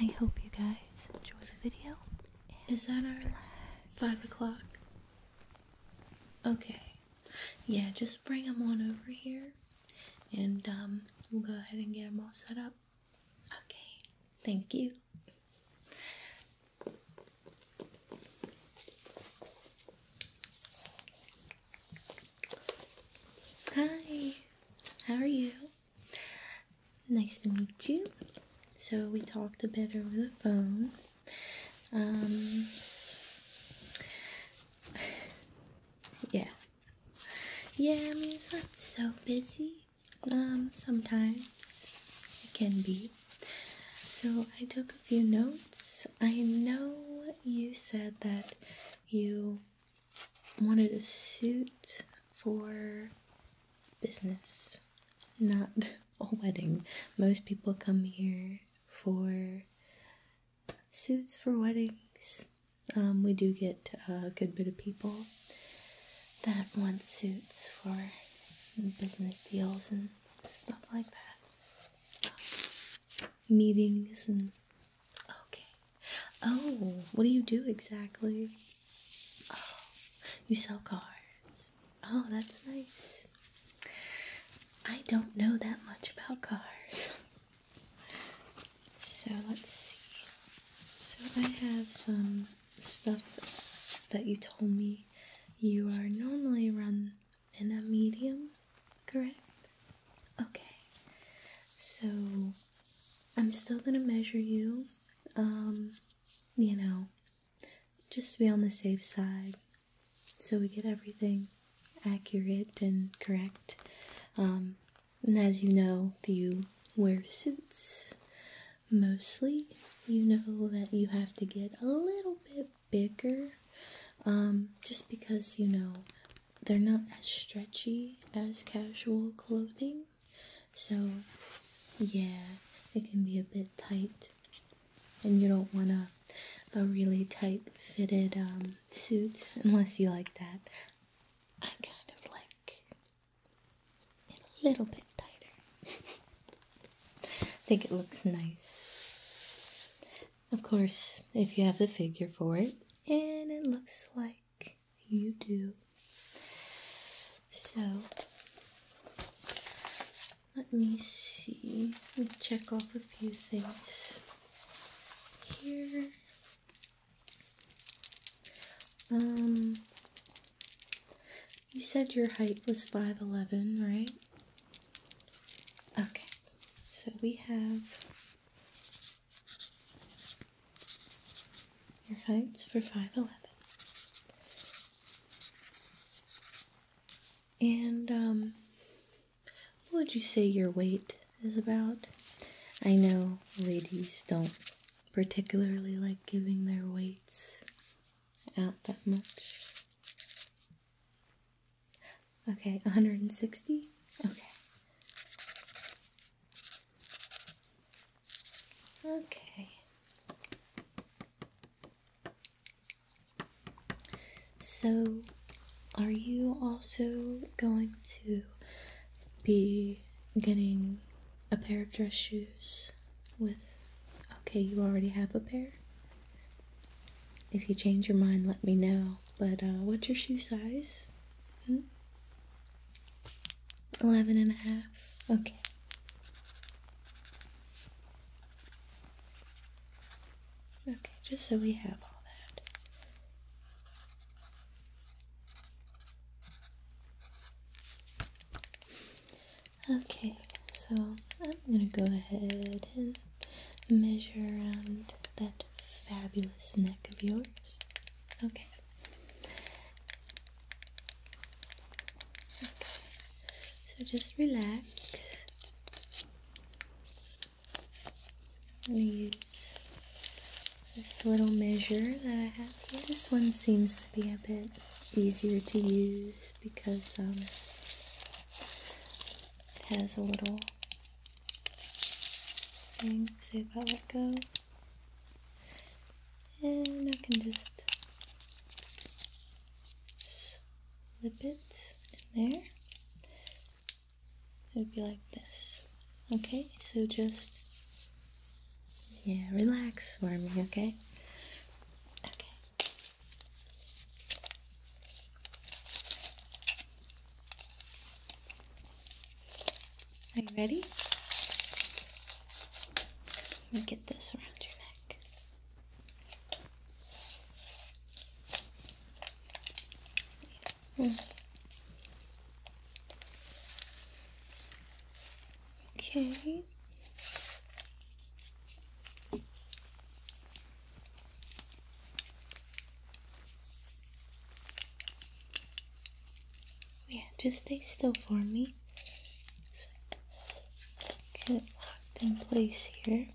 I hope you guys enjoy the video. Is that our last five o'clock? Okay. Yeah, just bring them on over here, and um, we'll go ahead and get them all set up. Okay. Thank you. Hi. How are you? Nice to meet you. So we talked a bit over the phone. Um, yeah. Yeah, I mean, it's not so busy. Um, sometimes it can be. So I took a few notes. I know you said that you wanted a suit for business, not a wedding. Most people come here for suits for weddings. Um, we do get a good bit of people that want suits for business deals and stuff like that. Um, meetings and okay. Oh, what do you do exactly? Oh, you sell cars. Oh, that's nice. I don't know that much about cars. so let's see. So I have some stuff that you told me you are normally run in a medium, correct? Okay. So I'm still going to measure you um, you know, just to be on the safe side so we get everything accurate and correct. Um, and as you know, if you wear suits mostly. You know that you have to get a little bit bigger um, just because, you know, they're not as stretchy as casual clothing. So, yeah, it can be a bit tight, and you don't want a, a really tight fitted um, suit unless you like that. I kind of like a little bit tighter. I think it looks nice. Of course, if you have the figure for it, and it looks like you do. So let me see. Let me check off a few things here. Um, you said your height was 5'11, right? Okay, so we have your height's for 5'11. And, um, what would you say your weight is about? I know ladies don't particularly like giving their weights out that much. Okay, 160? Okay. Okay. So, are you also going to be getting a pair of dress shoes with. Okay, you already have a pair? If you change your mind, let me know. But uh, what's your shoe size? Hmm? Eleven and a half. Okay. Okay, just so we have all that. Okay, so I'm gonna go ahead and measure around that fabulous neck of yours. Okay. So just relax. I'm gonna use this little measure that I have here. This one seems to be a bit easier to use because um, it has a little thing. if I let go and I can just slip it in there. It would be like this. Okay, so just yeah, relax for me, okay? Okay. Are you ready? Let me get this around your neck. Okay. Oh, yeah, just stay still for me. get it locked in place here.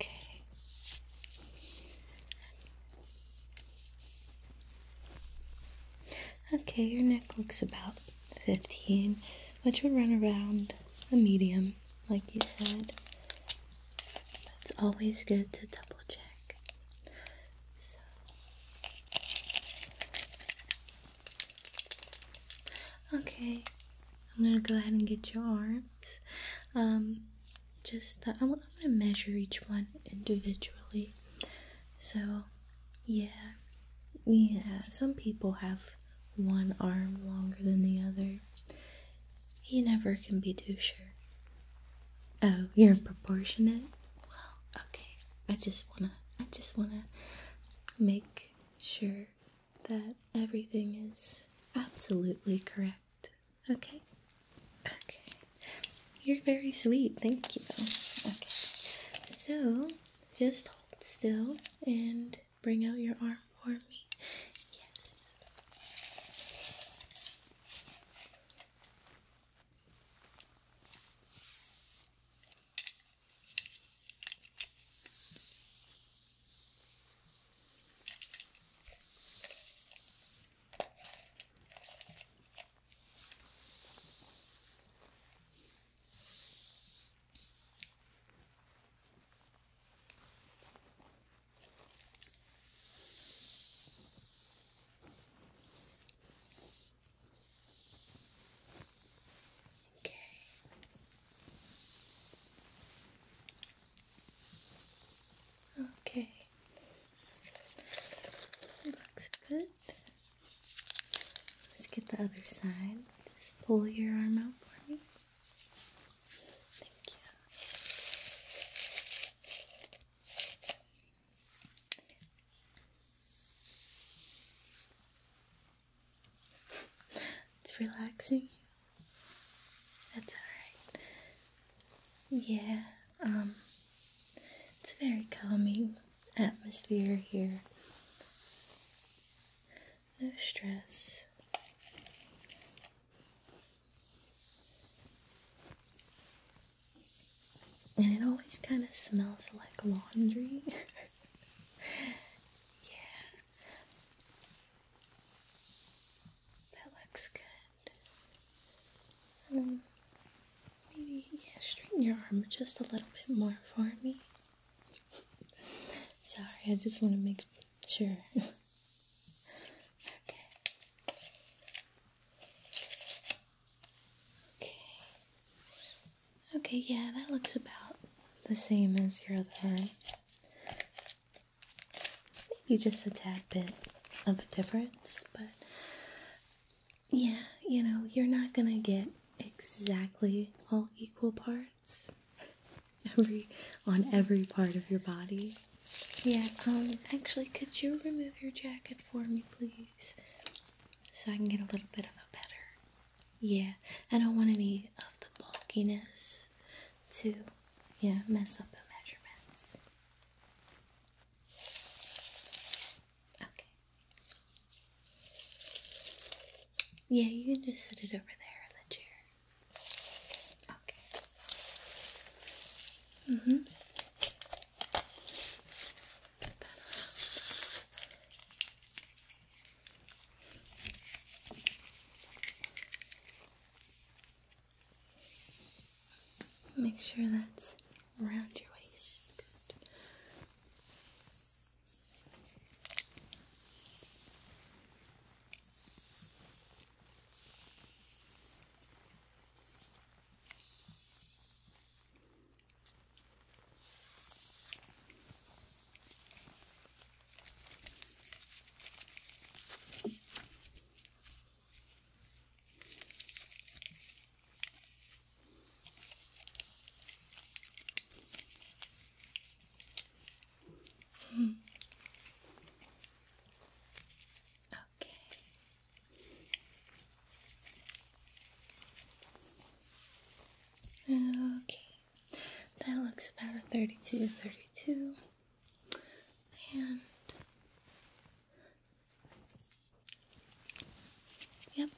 Okay. Okay, your neck looks about 15, which would run around a medium, like you said. It's always good to double check. Okay, I'm gonna go ahead and get your arms. Um, just, I'm gonna measure each one individually. So yeah, yeah, some people have one arm longer than the other. You never can be too sure. Oh, you're proportionate? Well, okay. I just wanna, I just wanna make sure that everything is absolutely correct. Okay? Okay. You're very sweet, thank you. Okay, so just hold still and bring out your arm for me. Yes. Okay. Okay. Looks good. Let's get the other side. Just pull your arm out for me. Thank you. It's relaxing. That's alright. Yeah. Um, it's a very calming atmosphere here. No stress. And it always kind of smells like laundry. yeah. That looks good. Um, yeah, straighten your arm just a little bit more for me. Sorry, I just want to make sure. Okay. Okay, yeah, that looks about the same as your other arm. Maybe just a tad bit of a difference, but yeah, you know, you're not gonna get exactly all equal parts every on every part of your body. Yeah, um actually could you remove your jacket for me please? So I can get a little bit of a better yeah, I don't want any of the bulkiness to yeah, mess up the measurements. Okay. Yeah, you can just sit it over there in the chair. Okay. Mm hmm. Make sure that's around your waist. Good okay. Okay. That looks about 32, 32. And Yep.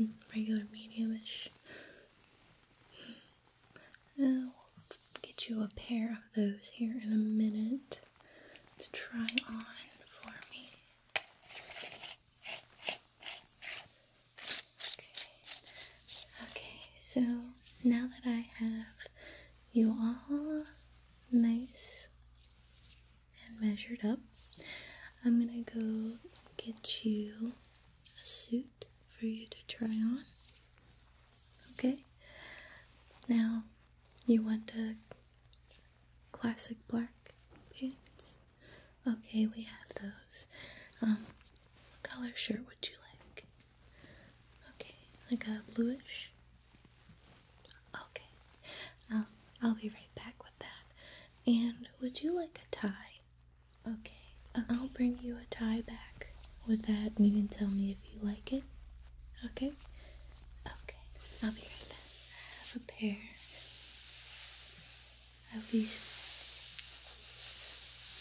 Mm, regular mediumish. I'll get you a pair of those here in a minute to try on for me. Okay, okay so now that I have you all nice and measured up. I'm gonna go get you a suit for you to try on. Okay? Now, you want a classic black pants? Okay, we have those. Um, what color shirt would you like? Okay, like a bluish? Okay, um, I'll be right back with that. And would you like a tie? Okay, I'll bring you a tie back with that, and you can tell me if you like it. Okay, okay, I'll be right back. I have a pair of these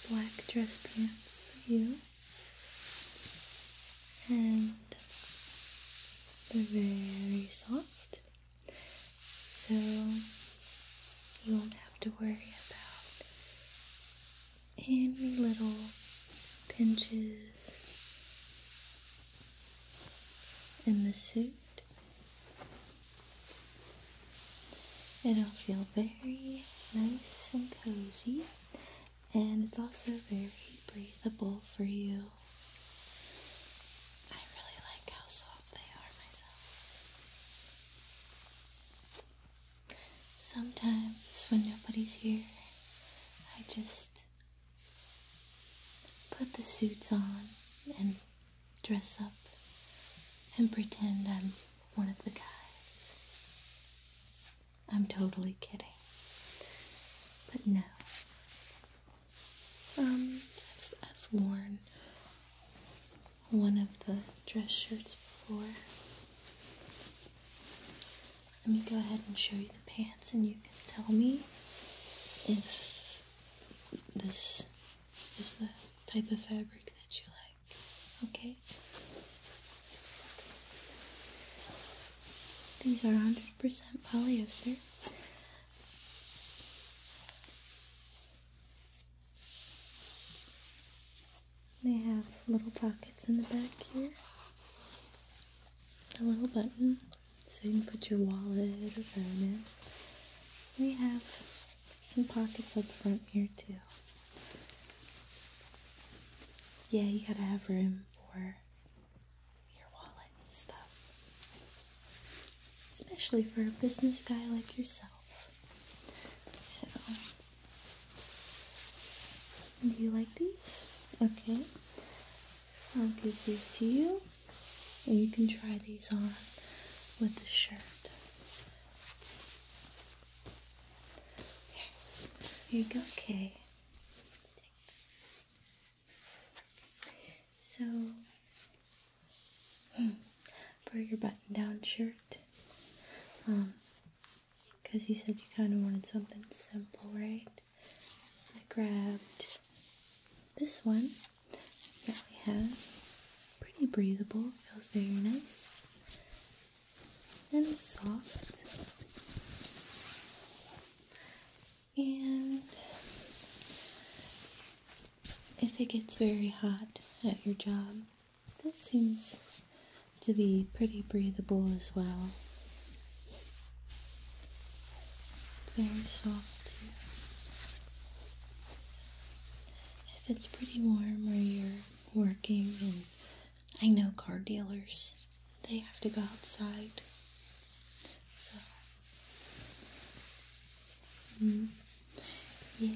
black dress pants for you, and they're very soft, so you won't have to worry about any little pinches in the suit. It'll feel very nice and cozy, and it's also very breathable for you. I really like how soft they are myself. Sometimes when nobody's here, I just put the suits on and dress up and pretend I'm one of the guys. I'm totally kidding. But no, um, I've, worn one of the dress shirts before. Let me go ahead and show you the pants, and you can tell me if this is the type of fabric that you like. Okay? These are 150 100% polyester. They have little pockets in the back here. A little button so you can put your wallet or phone in. We have some pockets up front here too. Yeah, you gotta have room for your wallet and stuff. Especially for a business guy like yourself. So, do you like these? Okay, I'll give these to you, and you can try these on with the shirt. Here, you go, Kay. So, for hmm, your button down shirt, um, because you said you kind of wanted something simple, right? I grabbed this one that we have. Pretty breathable, feels very nice and soft. And if it gets very hot at your job, this seems to be pretty breathable as well. Very soft too. if it's pretty warm or you're working, and I know car dealers they have to go outside. So, mm, yeah,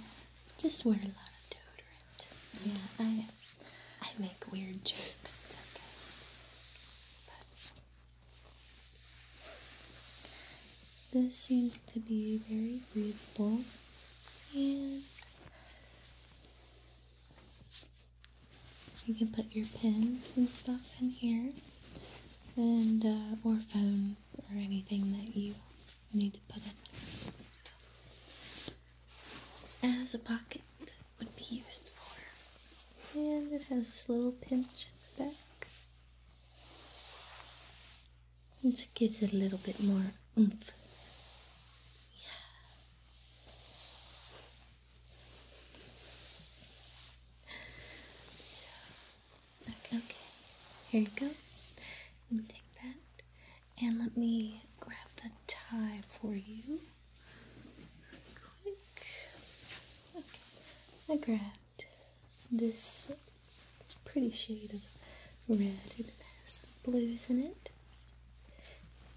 just wear a lot of deodorant. Yeah, I, I make weird jokes. It's okay. this seems to be very breathable and you can put your pens and stuff in here, and uh, or phone or anything that you need to put in. So, as a pocket would be used for, and it has this little pinch at the back. which gives it a little bit more oomph. Yeah okay, here you go. Let me take that. And let me grab the tie for you. Quick. Okay, I grabbed this pretty shade of red. and It has some blues in it.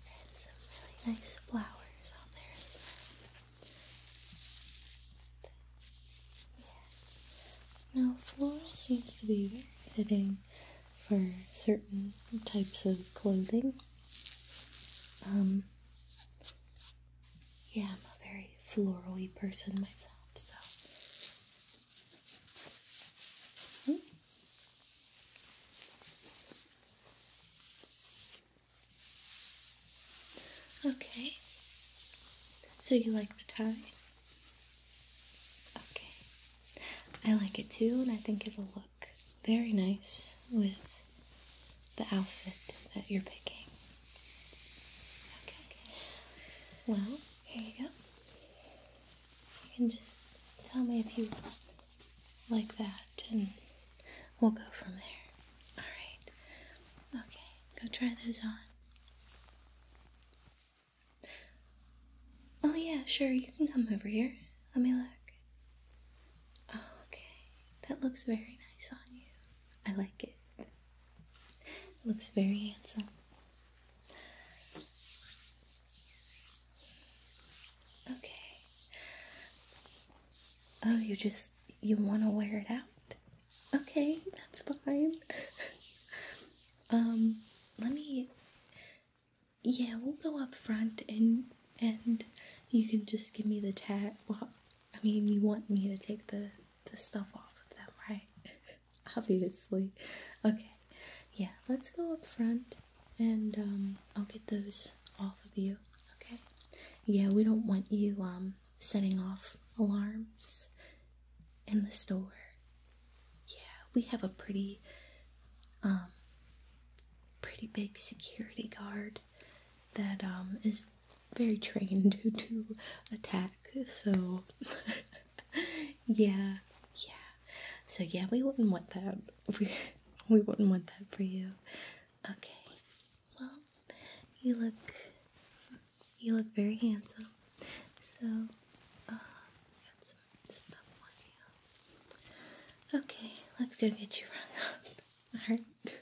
And some really nice flowers on there as well. Now, floral seems to be very fitting for certain types of clothing. Um, yeah, I'm a very florally person myself, so. Hmm? Okay. So you like the tie? Okay. I like it too, and I think it'll look very nice with the outfit that you're picking. Okay. Well, here you go. You can just tell me if you like that and We'll go from there. Alright. Okay, go try those on. Oh, yeah, sure, you can come over here. Let me look. okay. That looks very nice on you. I like it looks very handsome. Okay. Oh, you just you want to wear it out. Okay, that's fine. um, let me. Yeah, we'll go up front and and you can just give me the tag. Well, I mean, you want me to take the the stuff off of them, right? Obviously. Okay. Yeah, let's go up front and um I'll get those off of you. Okay. Yeah, we don't want you um setting off alarms in the store. Yeah, we have a pretty, um, pretty big security guard that um, is very trained to, to attack. So, yeah, yeah. So yeah, we wouldn't want that. We we wouldn't want that for you. Okay. Well, you look you look very handsome. So, uh, Okay, let's go get you rung up. All right.